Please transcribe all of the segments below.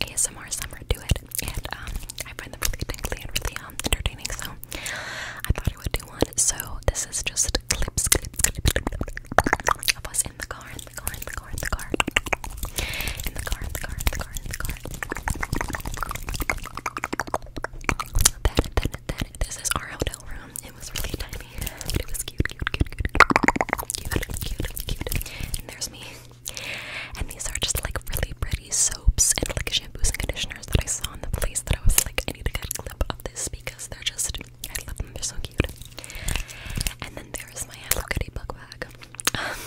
ASMR summer to it, and um, I find them really tingly and really um, entertaining. So I thought I would do one. So this is just clips, clips, clips, clips of us in the car, in the car, in the car, in the car, in the car, in the car, in the car, in the car. That, that, that. This is our hotel room. It was really tiny, but it was cute, cute, cute, cute, cute, cute, cute and there's me. And these are just like really pretty soaps and like shampoos and conditioners that I saw in the place that I was like, I need to get a clip of this because they're just, I love them, they're so cute. And then there's my Hello Kitty book bag. Um,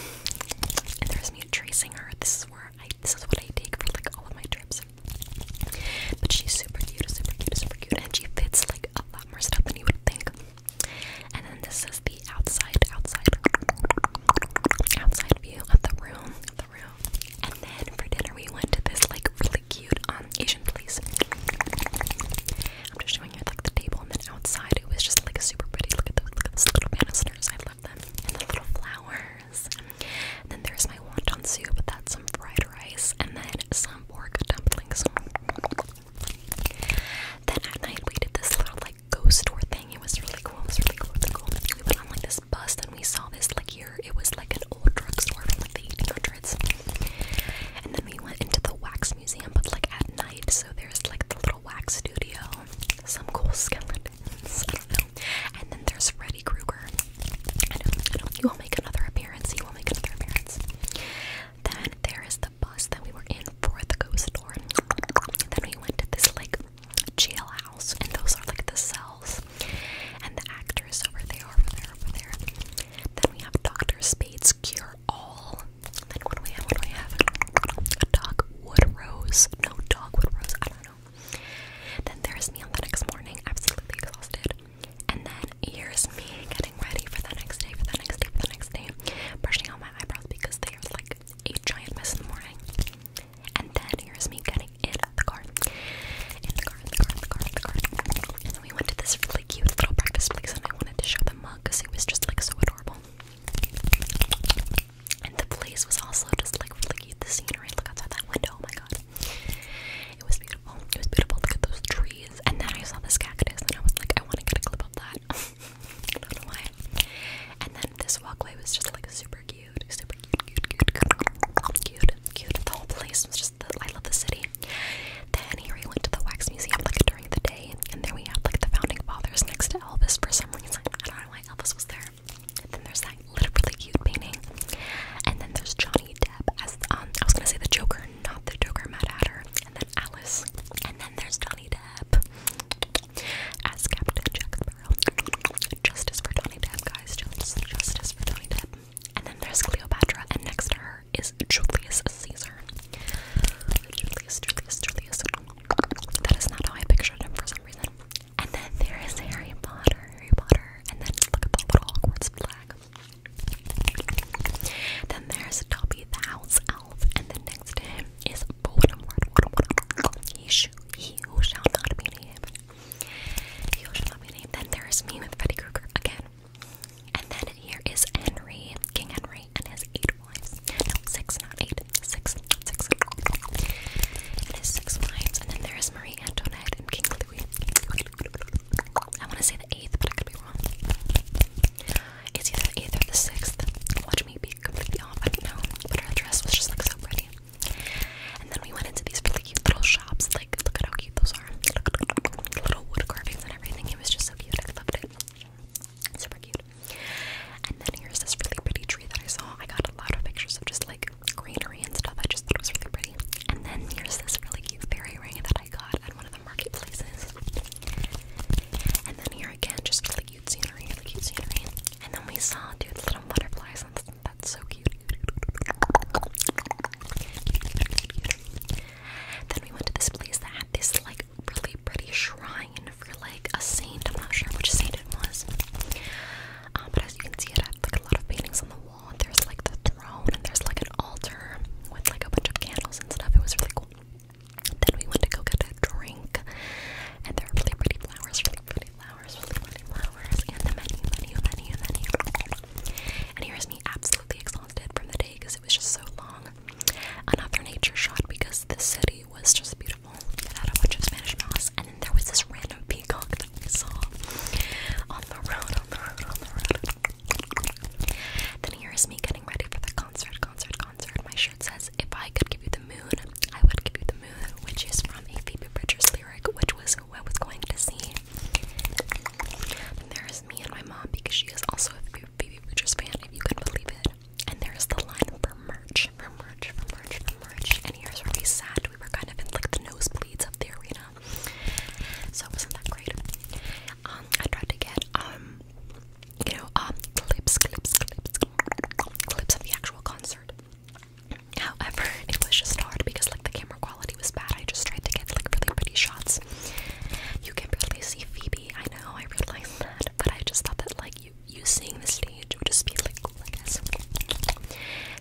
and there's me tracing her. This is where I, this is what I take for like all of my trips. But she's super cute, super cute, super cute, and she fits like a lot more stuff than you would think. And then this is the outside, outside, outside view of the room, of the room. And then for dinner we went to this like really cute um, Asian place. I'm just showing you like the table, and then outside it was just like a super pretty. Look at those, look at those little banisters. I love them, and the little flowers. And then there's my wonton soup. That's some fried rice, and then some pork dumplings. Then at night we did this little like ghost tour thing. It was really cool. It was really cool. Really cool. We went on like this bus and we saw this like here. It was like an old drugstore from like the 1800s. And then we went into the wax museum, but like at night. So there's like the little wax studio, some cool skeletons. And then there's Freddy Krueger. I He will make another appearance. He will make another appearance. Then there is the bus that we were in for the ghost store. then we went to this like jailhouse, and those are like the cells. And the actress over there, over there, over there. Then we have Doctor Spade's Cure All. then what do we have? What do we have? A dogwood rose? No dogwood rose. I don't know. Then there's me on the next morning, absolutely exhausted. And then here's me getting ready for the next day, for the next day, for the next day, brushing out my eyebrows because they are like a giant mess in the morning. And then here's me getting in the car. In the car, in the car, in the car, in the car. And then we went to this really cute little practice place and I wanted to show the mug because it was just like so adorable. And the place was also just like really The scenery, look outside that window, oh my god. It was beautiful beautiful. Oh, it was beautiful. Look at those trees. And then I saw this cactus and I was like, I want to get a clip of that. I don't know why. And then this walkway was just like super cute. Super cute, cute, cute, cute, cute, cute. The whole place was just, the, I love the city. Then here we went to the Wax Museum like during the day. And then we have like the Founding Fathers next to Elvis for some reason. I don't know why Elvis was there. And then there's that literally cute painting. And then there's Johnny Depp as, um, I was gonna say the Joker not the Joker, Mad Hatter, and then Alice, and then there's Johnny Depp as Captain Jack Sparrow. Justice for Johnny Depp, guys. justice for Johnny Depp. And then there's Cleopatra, and next to her is Julius Caesar. Julius, Julius, Julius. That is not how I pictured him for some reason. And then there is Harry Potter, Harry Potter. And then look at the little Hogwarts flag. Then there's Dobby the house elf, and then next to him is Voldemort. He, sh he who shall not be named. He who shall not be named. Then there is me with Freddy Krueger again. And then here is Henry, King Henry, and his eight wives. No, six, not eight. Six, six. And six wives. And then there is Marie Antoinette and King Louis. I want to say the eighth, but I could be wrong. It's either the eighth or the sixth. Watch me be completely off. I don't know, but her dress was just like so pretty. And then we went into these really cute little shops. Like, look at how cute those are. Little wood carvings and everything. It was just so cute. I loved it. Super cute. And then here's this really pretty tree that I saw. I got a lot of pictures of just like green and stuff. I just thought it was really pretty. And then here's this really cute fairy ring that I got at one of the marketplaces. And then here again, just really cute scenery, really cute scenery. And then we saw dude little butterflies, that's so cute. Then we went to this place that had this like really pretty shrine for like a saint. I'm not sure which saint it was, uh, but as you can see, it had like a lot of paintings on the wall wall. There's like the throne and there's like an altar with like a bunch of candles and stuff. It was really cool. Then we went to go get a drink and there are really pretty flowers, really pretty flowers, really pretty flowers, and the many, many, menu, menu, many. And here's me absolutely exhausted from the day because it was just so long. Another nature shot because the city was just beautiful. It had a bunch of Spanish moss, and then there was this random peacock I on the road, on the road, on the road. Then here is me getting ready for the concert, concert, concert. My shirt says, If I could give you the moon, I would give you the moon, which is from a Phoebe Bridgers lyric, which was what I was going to see. Then there is me and my mom because she is also a Phoebe Bridgers fan, if you can believe it. And there is the line for merch, for merch, for merch, for merch. And here's where we sat. We were kind of in like the nosebleeds of the arena. So it wasn't that great. Um, I tried to get um, you know, um, clips, clips, clips, clips of the actual concert. However, it was just hard because like the camera quality was bad. I just tried to get like really pretty shots. You can really see Phoebe. I know, I realize that, but I just thought that like you you seeing the stage would just be like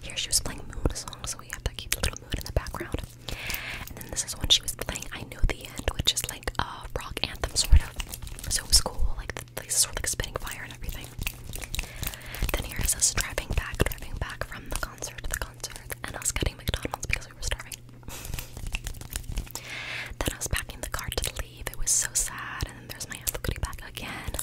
here she was playing Moon song, so we have that cute little moon in the background. And then this is when she was playing I Know the End, which is like a rock anthem sort of. So it was cool, like the place sort of like spitting fire and everything. Then here is us driving back, driving back from the concert to the concert, and us getting McDonald's because we were starving. then I was packing the car to leave. It was so sad. And then there's my ass Kitty back again.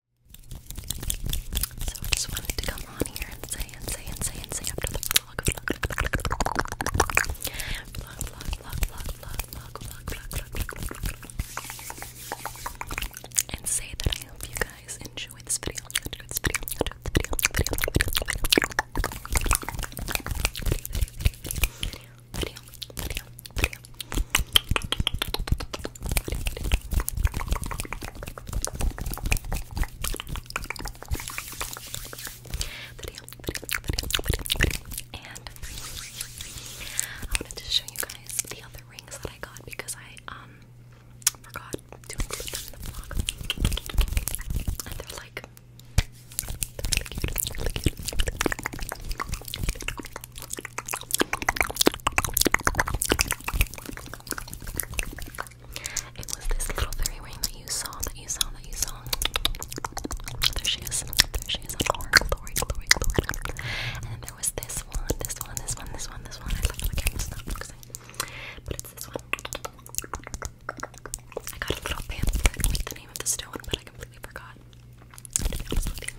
So I just wanted to come on here and say and say and say and say after the vlog, and say that I hope you guys enjoy this Video. And I wanted to show you guys the other rings that I got because I um forgot to put them in the vlog. And they're like it was this little fairy ring that you saw, that you saw, that you saw. There she is. There she is on glory, glory, glory, glory. And then there was this one, this one, this one, this one, this one. I love it. It's not focusing. But it's this one. I got a little pamphlet with the name of the stone, but I completely forgot. To be honest with you.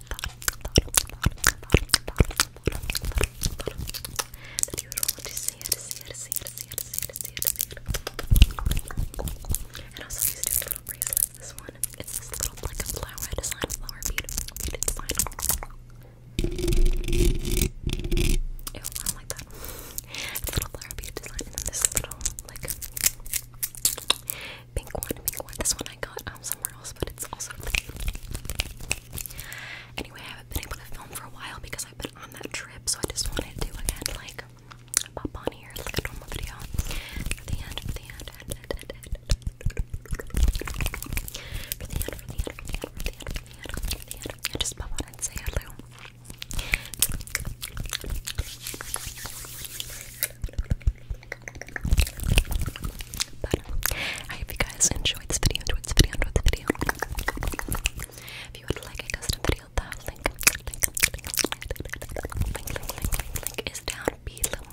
that you would want to see it, see it, see it, see it, see it, see it, see it. And also these two little bracelets. This one, it's this little like a flower design, flower beautiful, beaded design. Ew, I don't like that. It's a little flower bead design, and then this little like pink one, pink one. This one I got somewhere else, but it's also pretty. Anyway, I haven't been able to film for a while because I've been on that trip, so I just wanted to again like pop on here like a normal video for the end, for the end, end, end, end, end. For the end, for the end, for the end, for the end, for the end, for the end, for the end. I just pop on and say hello. But I hope you guys enjoyed this video, this video, this video. If you would like a custom video, the link, is down below,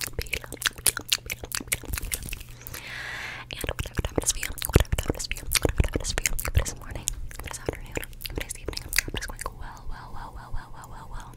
And whatever time it is for whatever time it is for whatever time it is for you, morning, if afternoon, if evening, if it is well, well, well, well, well, well, well, well.